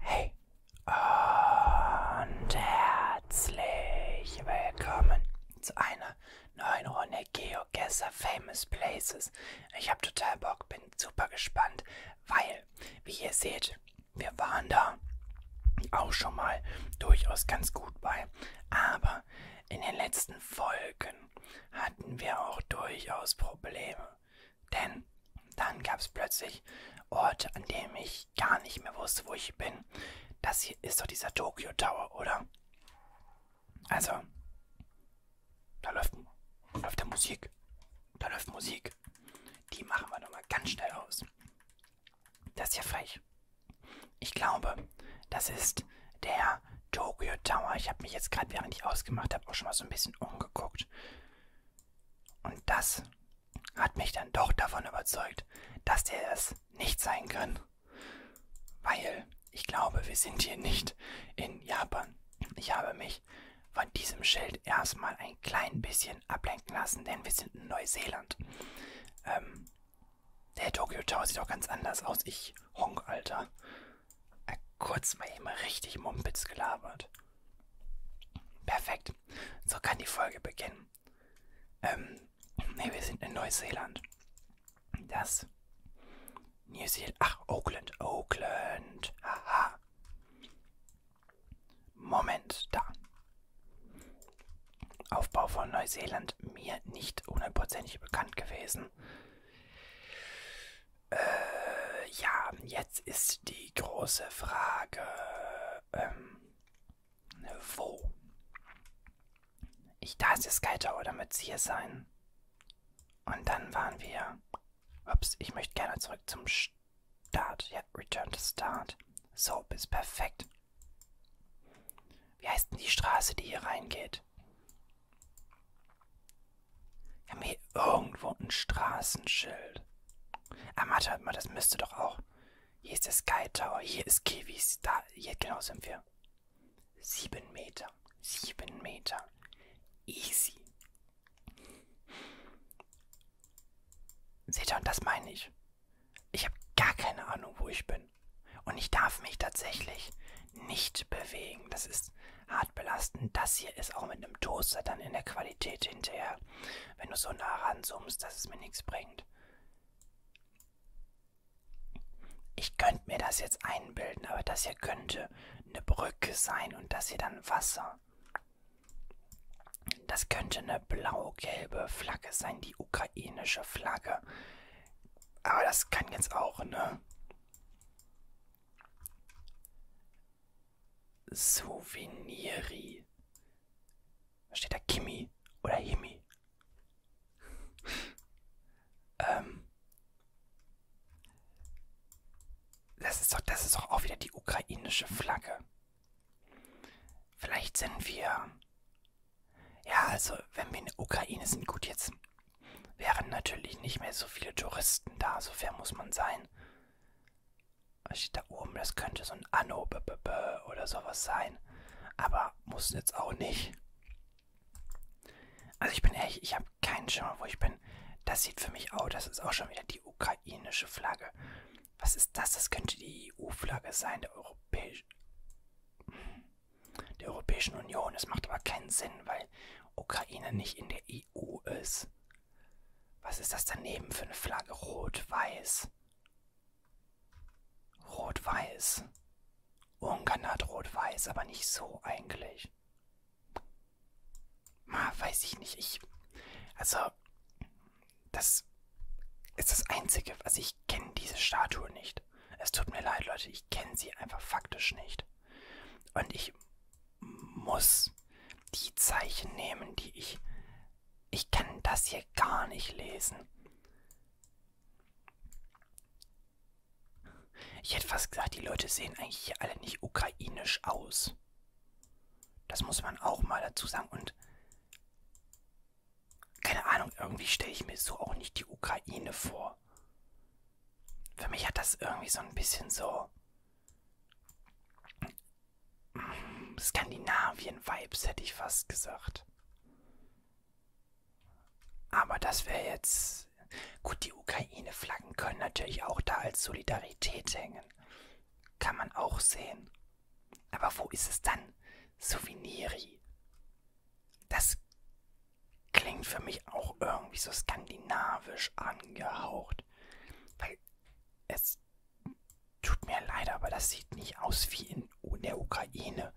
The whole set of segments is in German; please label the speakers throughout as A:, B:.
A: Hey und herzlich willkommen zu einer neuen Runde GeoGuessr Famous Places. Ich habe total Bock, bin super gespannt, weil, wie ihr seht, wir waren da auch schon mal durchaus ganz gut bei. Aber in den letzten Folgen hatten wir auch durchaus Probleme. Denn dann gab es plötzlich Orte, an denen ich gar nicht mehr wusste, wo ich bin. Das hier ist doch dieser Tokyo Tower, oder? Also, da läuft, läuft der Musik. Da läuft Musik. Die machen wir doch mal ganz schnell aus. Das ist ja frech. Ich glaube, das ist ist der Tokyo Tower. Ich habe mich jetzt gerade, während ich ausgemacht habe, auch schon mal so ein bisschen umgeguckt. Und das hat mich dann doch davon überzeugt, dass der das nicht sein kann. Weil ich glaube, wir sind hier nicht in Japan. Ich habe mich von diesem Schild erstmal ein klein bisschen ablenken lassen, denn wir sind in Neuseeland. Ähm, der Tokyo Tower sieht auch ganz anders aus. Ich honk, Alter. Äh, kurz mal eben richtig Mumpitz gelabert. Perfekt. So kann die Folge beginnen. Ähm, nee, wir sind in Neuseeland. Das. New Zealand. Ach, Oakland. Oakland. Haha. Moment, da. Aufbau von Neuseeland mir nicht hundertprozentig bekannt gewesen lassen. Äh, ja, jetzt ist die große Frage, ähm, wo? Ich, da ist der Sky Tower, damit sie hier sein. Und dann waren wir. Ups, ich möchte gerne zurück zum Start. Ja, Return to Start. So, ist perfekt. Wie heißt denn die Straße, die hier reingeht? Wir haben hier irgendwo ein Straßenschild. Ah, warte mal, das müsste doch auch. Hier ist der Sky Tower, hier ist Kiwis, da, hier genau sind wir. Sieben Meter, sieben Meter. Easy. Seht ihr, und das meine ich. Ich habe gar keine Ahnung, wo ich bin. Und ich darf mich tatsächlich nicht bewegen. Das ist hart belastend. Das hier ist auch mit einem Toaster dann in der Qualität hinterher. Wenn du so nah ranzoomst, dass es mir nichts bringt. Ich könnte mir das jetzt einbilden, aber das hier könnte eine Brücke sein und das hier dann Wasser. Das könnte eine blau-gelbe Flagge sein, die ukrainische Flagge. Aber das kann jetzt auch, ne? Souveniri. Was steht da? Kimi oder Himi? ähm. Das ist, doch, das ist doch auch wieder die ukrainische Flagge. Vielleicht sind wir ja, also, wenn wir in der Ukraine sind, gut, jetzt wären natürlich nicht mehr so viele Touristen da, so fair muss man sein. Was also, steht da oben? Das könnte so ein Anno b -b -b oder sowas sein. Aber muss jetzt auch nicht. Also ich bin ehrlich, ich habe keinen Schimmer, wo ich bin. Das sieht für mich aus, das ist auch schon wieder die ukrainische Flagge. Was ist das? Das könnte die EU-Flagge sein, der europäische. Hm der Europäischen Union. Es macht aber keinen Sinn, weil Ukraine nicht in der EU ist. Was ist das daneben für eine Flagge? Rot-Weiß. Rot-Weiß. Ungarn hat Rot-Weiß, aber nicht so eigentlich. Ma, weiß ich nicht. Ich. Also. Das ist das Einzige. Also ich kenne diese Statue nicht nicht. Es tut mir leid, Leute, ich kenne sie einfach faktisch nicht. Und ich muss die Zeichen nehmen, die ich... Ich kann das hier gar nicht lesen. Ich hätte fast gesagt, die Leute sehen eigentlich hier alle nicht ukrainisch aus. Das muss man auch mal dazu sagen. Und keine Ahnung, irgendwie stelle ich mir so auch nicht die Ukraine vor. Für mich hat das irgendwie so ein bisschen so mm, Skandinavien-Vibes, hätte ich fast gesagt. Aber das wäre jetzt... Gut, die Ukraine-Flaggen können natürlich auch da als Solidarität hängen. Kann man auch sehen. Aber wo ist es dann? Souveniri. Das klingt für mich auch irgendwie so skandinavisch angehaucht. Weil es tut mir leid, aber das sieht nicht aus wie in der Ukraine.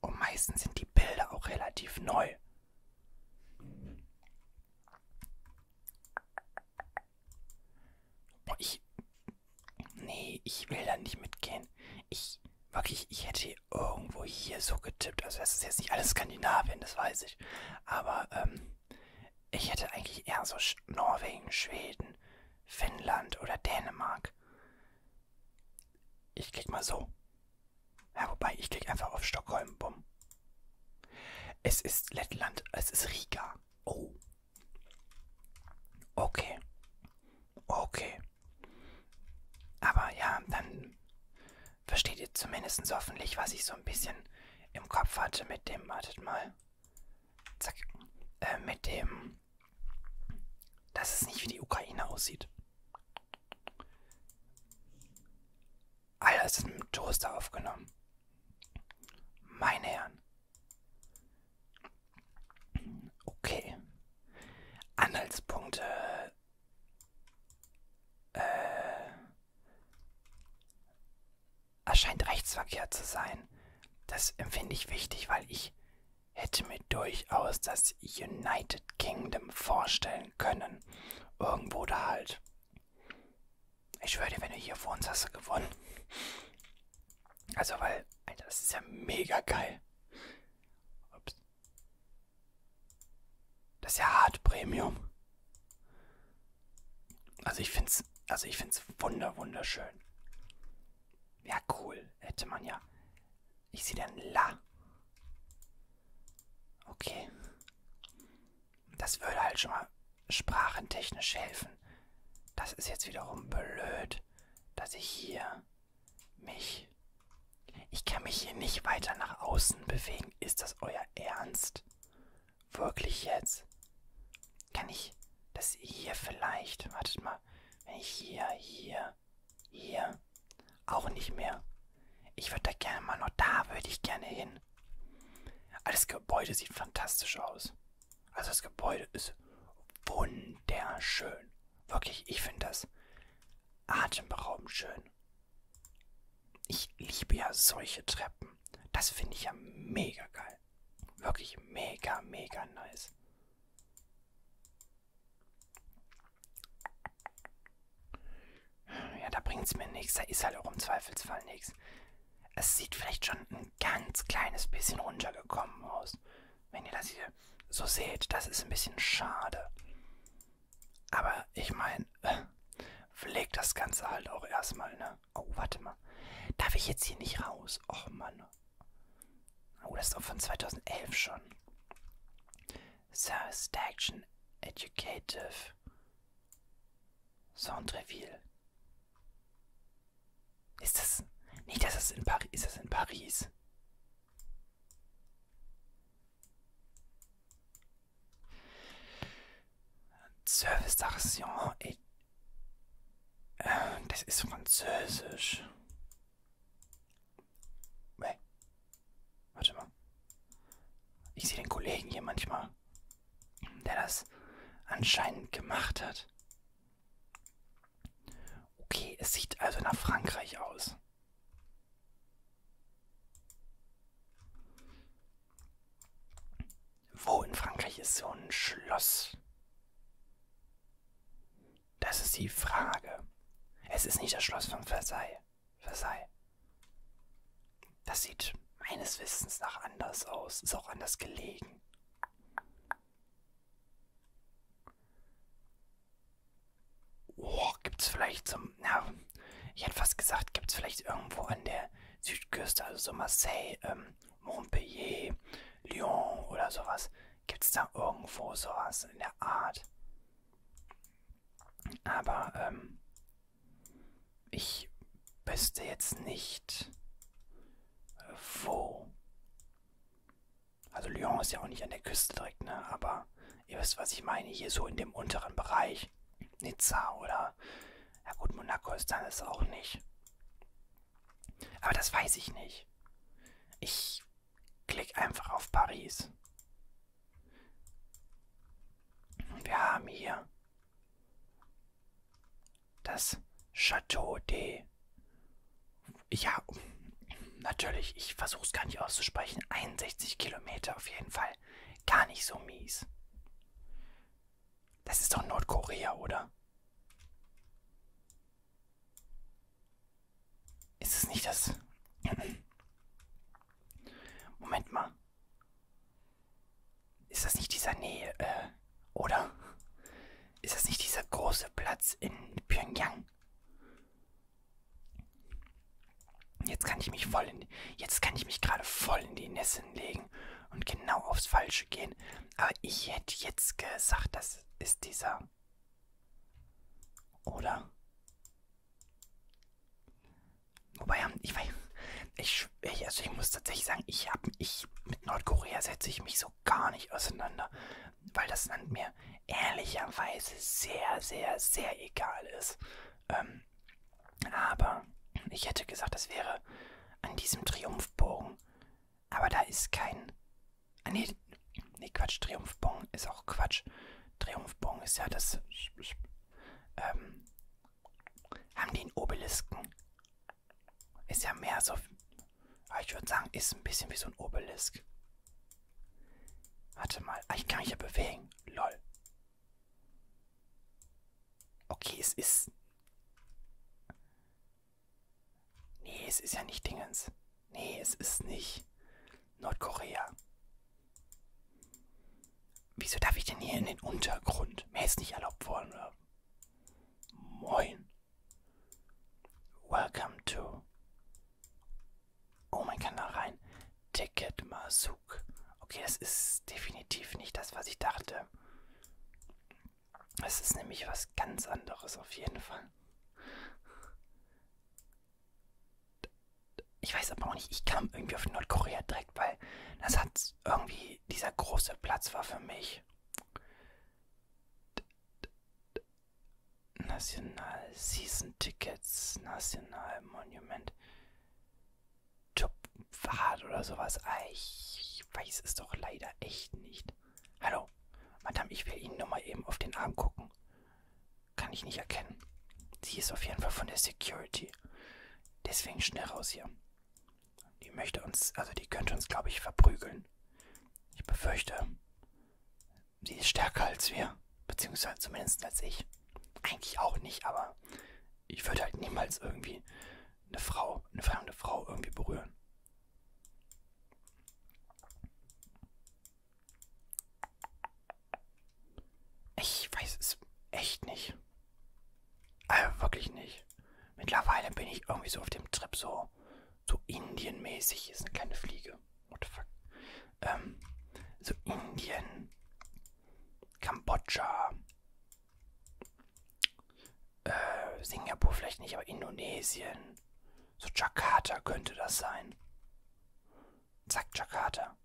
A: Und meistens sind die Bilder auch relativ neu. Boah, ich Nee, ich will da nicht mitgehen. Ich, wirklich, ich hätte irgendwo hier so getippt. Also das ist jetzt nicht alles Skandinavien, das weiß ich. Aber ähm, ich hätte eigentlich eher so Sch Norwegen, Schweden, Finnland oder Dänemark. Ich klicke mal so. Ja, wobei, ich klicke einfach auf Stockholm, bumm. Es ist Lettland, es ist Riga. Oh, Okay. Okay. Aber ja, dann versteht ihr zumindest hoffentlich, was ich so ein bisschen im Kopf hatte mit dem, wartet mal. Zack. Äh, mit dem, dass es nicht wie die Ukraine aussieht. Alles im Toaster aufgenommen. Meine Herren, Okay. Anhaltspunkte. Äh, erscheint rechtsverkehr zu sein. Das empfinde ich wichtig, weil ich hätte mir durchaus das United Kingdom vorstellen können. Irgendwo da halt. Ich schwöre dir, wenn du hier wohnst, hast du gewonnen. Also, weil, Alter, das ist ja mega geil. Ups. Das ist ja hart Premium. Also ich find's, also ich find's wunder, wunderschön. Ja, cool. Hätte man ja. Ich sehe dann La. Okay. Das würde halt schon mal sprachentechnisch helfen. Das ist jetzt wiederum blöd, dass ich hier mich... Ich kann mich hier nicht weiter nach außen bewegen. Ist das euer Ernst? Wirklich jetzt? Kann ich das hier vielleicht? Wartet mal. Wenn ich hier, hier, hier... Auch nicht mehr. Ich würde da gerne mal noch... Da würde ich gerne hin. Aber ah, das Gebäude sieht fantastisch aus. Also das Gebäude ist wunderschön. Wirklich, ich finde das atemberaubend schön. Ich liebe ja solche Treppen. Das finde ich ja mega geil. Wirklich mega, mega nice. Ja, da bringt's mir nichts. Da ist halt auch im Zweifelsfall nichts es sieht vielleicht schon ein ganz kleines bisschen runtergekommen aus. Wenn ihr das hier so seht, das ist ein bisschen schade. Aber ich meine, äh, pflegt das Ganze halt auch erstmal, ne? Oh, warte mal. Darf ich jetzt hier nicht raus? Och, Mann. Oh, das ist auch von 2011 schon. Satisfaction Educative. Sound Reveal. Ist das. Nicht, dass das in Paris. Ist das in Paris? Service d'Action. Äh, das ist französisch. Wait. Warte mal. Ich sehe den Kollegen hier manchmal der das anscheinend gemacht hat. Okay, es sieht also nach Frankreich aus. Wo in Frankreich ist so ein Schloss? Das ist die Frage. Es ist nicht das Schloss von Versailles. Versailles. Das sieht meines Wissens nach anders aus, ist auch anders gelegen. Oh, gibt's vielleicht zum. Na, ich hätte fast gesagt, gibt's vielleicht irgendwo an der Südküste, also so Marseille, ähm, Montpellier, Lyon oder sowas. Gibt's da irgendwo sowas in der Art? Aber, ähm, ich wüsste jetzt nicht, wo. Also Lyon ist ja auch nicht an der Küste direkt, ne? Aber ihr wisst, was ich meine. Hier so in dem unteren Bereich. Nizza oder... Ja gut, Monaco ist dann es auch nicht. Aber das weiß ich nicht. Ich klicke einfach auf Paris. Wir haben hier das Chateau de. Ja, natürlich, ich versuche es gar nicht auszusprechen. 61 Kilometer auf jeden Fall. Gar nicht so mies. Das ist doch Nordkorea, oder? Ist es nicht das. Moment mal. Ist das nicht dieser Nähe, äh, oder? Ist das nicht dieser große Platz in Pyongyang? Jetzt kann ich mich voll in, jetzt kann ich mich gerade voll in die Nissen legen und genau aufs Falsche gehen. Aber ich hätte jetzt gesagt, das ist dieser. Oder? Wobei, ähm, ich weiß, ich, ich, also ich muss tatsächlich sagen, ich habe ich mit Nordkorea setze ich mich so gar nicht auseinander, weil das Land mir ehrlicherweise sehr, sehr, sehr egal ist. Ähm, aber ich hätte gesagt, das wäre an diesem Triumphbogen. Aber da ist kein. Ah, nee, nee, Quatsch, Triumphbogen ist auch Quatsch. Triumphbogen ist ja das. Ähm, haben die einen Obelisken? Ist ja mehr so. Ah, ich würde sagen, ist ein bisschen wie so ein Obelisk. Warte mal. Ah, ich kann mich ja bewegen. Lol. Okay, es ist. Nee, es ist ja nicht Dingens. Nee, es ist nicht Nordkorea. Wieso darf ich denn hier in den Untergrund? Mir ist nicht erlaubt worden. Oder? Moin. Welcome to. Oh, man kann da rein. Ticket Masuk. Okay, das ist definitiv nicht das, was ich dachte. Es ist nämlich was ganz anderes auf jeden Fall. Ich weiß aber auch nicht, ich kam irgendwie auf Nordkorea direkt, weil das hat irgendwie, dieser große Platz war für mich. National Season Tickets, National Monument, Top-Fahrt oder sowas. Ah, ich weiß es doch leider echt nicht. Hallo, Madame, ich will Ihnen nur mal eben auf den Arm gucken. Kann ich nicht erkennen. Sie ist auf jeden Fall von der Security. Deswegen schnell raus hier. Die möchte uns, also die könnte uns, glaube ich, verprügeln. Ich befürchte, sie ist stärker als wir. Beziehungsweise zumindest als ich. Eigentlich auch nicht, aber ich würde halt niemals irgendwie eine Frau, eine fremde Frau irgendwie berühren. Ich weiß es echt nicht. Also wirklich nicht. Mittlerweile bin ich irgendwie so auf dem Trip so, so Indien-mäßig. Ist eine kleine Fliege. What the fuck? Ähm, so Indien, Kambodscha, äh, Singapur vielleicht nicht, aber Indonesien. So Jakarta könnte das sein sagt Jakarta.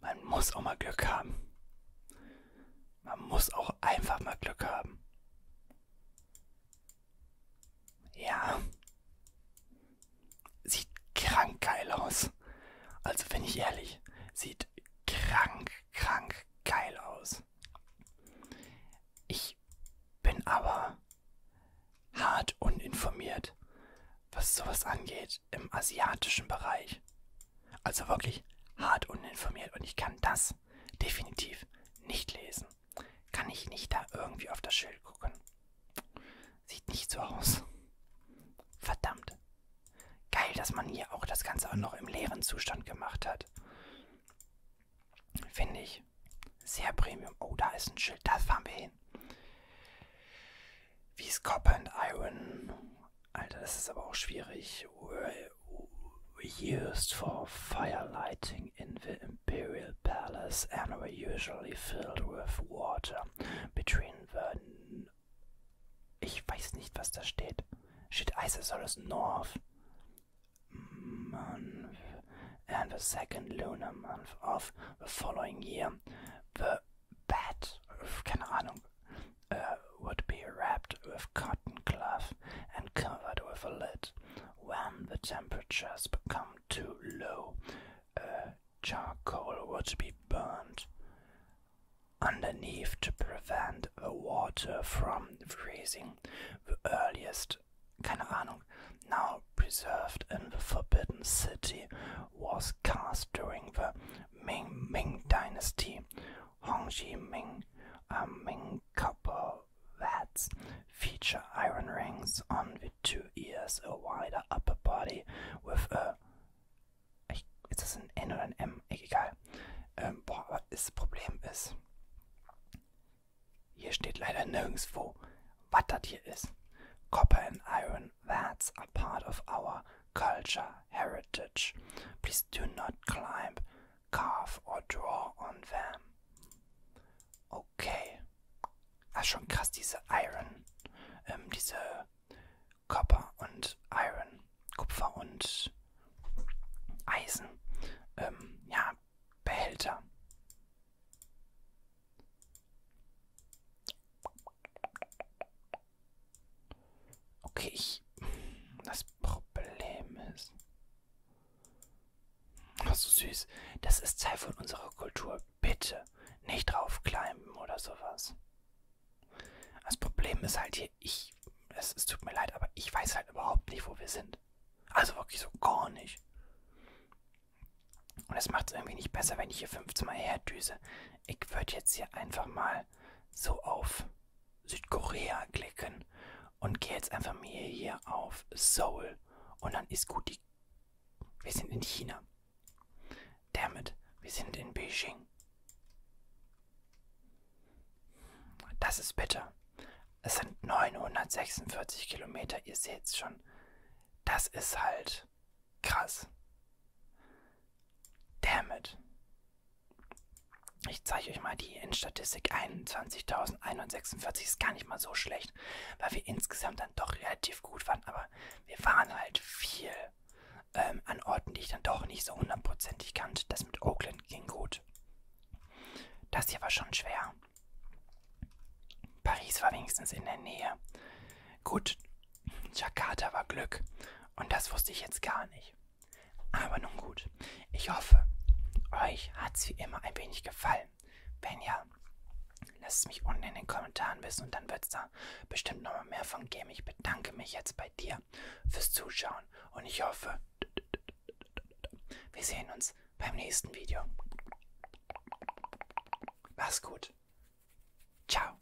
A: Man muss auch mal Glück haben. Man muss auch einfach mal Glück haben. Ja. Sieht krank geil aus. Also bin ich ehrlich, sieht krank, krank, geil aus. Ich bin aber hart uninformiert, was sowas angeht im asiatischen Bereich. Also wirklich hart uninformiert und ich kann das definitiv nicht lesen. Kann ich nicht da irgendwie auf das Schild gucken. Sieht nicht so aus. Verdammt. Geil, dass man hier auch das Ganze auch noch im leeren Zustand gemacht hat. Finde ich. Sehr Premium. Oh, da ist ein Schild. Da fahren wir hin. Wie Copper and Iron. Alter, das ist aber auch schwierig. Used for firelighting in the Imperial Palace and were usually filled with water between the I don't know was da steht. Shit, Isosaurus North. Month. the second lunar month of the following year. The bat, uh, would be wrapped with cotton cloth and covered with a lid. When the temperatures become too low, uh, charcoal would be burned underneath to prevent the water from freezing. The earliest, keine Ahnung, now preserved in the Forbidden City, was cast during the Ming Dynasty. Hongji Ming, a um, Ming couple vats feature iron rings on the two ears, a wider upper body with a Ich, ist das ein N oder ein M? Egal. Ähm, boah, aber das Problem ist, hier steht leider nirgendwo, was das hier ist. Copper and iron, that's a part of our culture, heritage. Please do not climb, carve or draw on them. Okay. Ah, schon krass, diese Iron. Ähm, diese Copper und Iron, Kupfer und Eisen, ähm, ja, Behälter. Okay, ich, das Problem ist, ach so süß, das ist Teil von unserer Kultur. Bitte nicht draufklimmen oder sowas. Das Problem ist halt hier, ich, es, es tut mir leid, aber ich weiß halt überhaupt nicht, wo wir sind. Also wirklich so gar nicht. Und es macht es irgendwie nicht besser, wenn ich hier 15 Mal herdüse. Ich würde jetzt hier einfach mal so auf Südkorea klicken und gehe jetzt einfach mir hier auf Seoul. Und dann ist gut, die wir sind in China. Damit, wir sind in Beijing. Das ist bitter. Es sind 946 Kilometer, ihr seht's schon. Das ist halt krass. Damn it. Ich zeige euch mal die Endstatistik 21.146. Ist gar nicht mal so schlecht, weil wir insgesamt dann doch relativ gut waren. Aber wir waren halt viel ähm, an Orten, die ich dann doch nicht so hundertprozentig kannte. Das mit Oakland ging gut. Das hier war schon schwer. Paris war wenigstens in der Nähe. Gut, Jakarta war Glück. Und das wusste ich jetzt gar nicht. Aber nun gut, ich hoffe, euch hat's wie immer ein wenig gefallen. Wenn ja, lasst es mich unten in den Kommentaren wissen und dann wird's da bestimmt nochmal mehr von geben. Ich bedanke mich jetzt bei dir fürs Zuschauen und ich hoffe, wir sehen uns beim nächsten Video. Mach's gut. Ciao.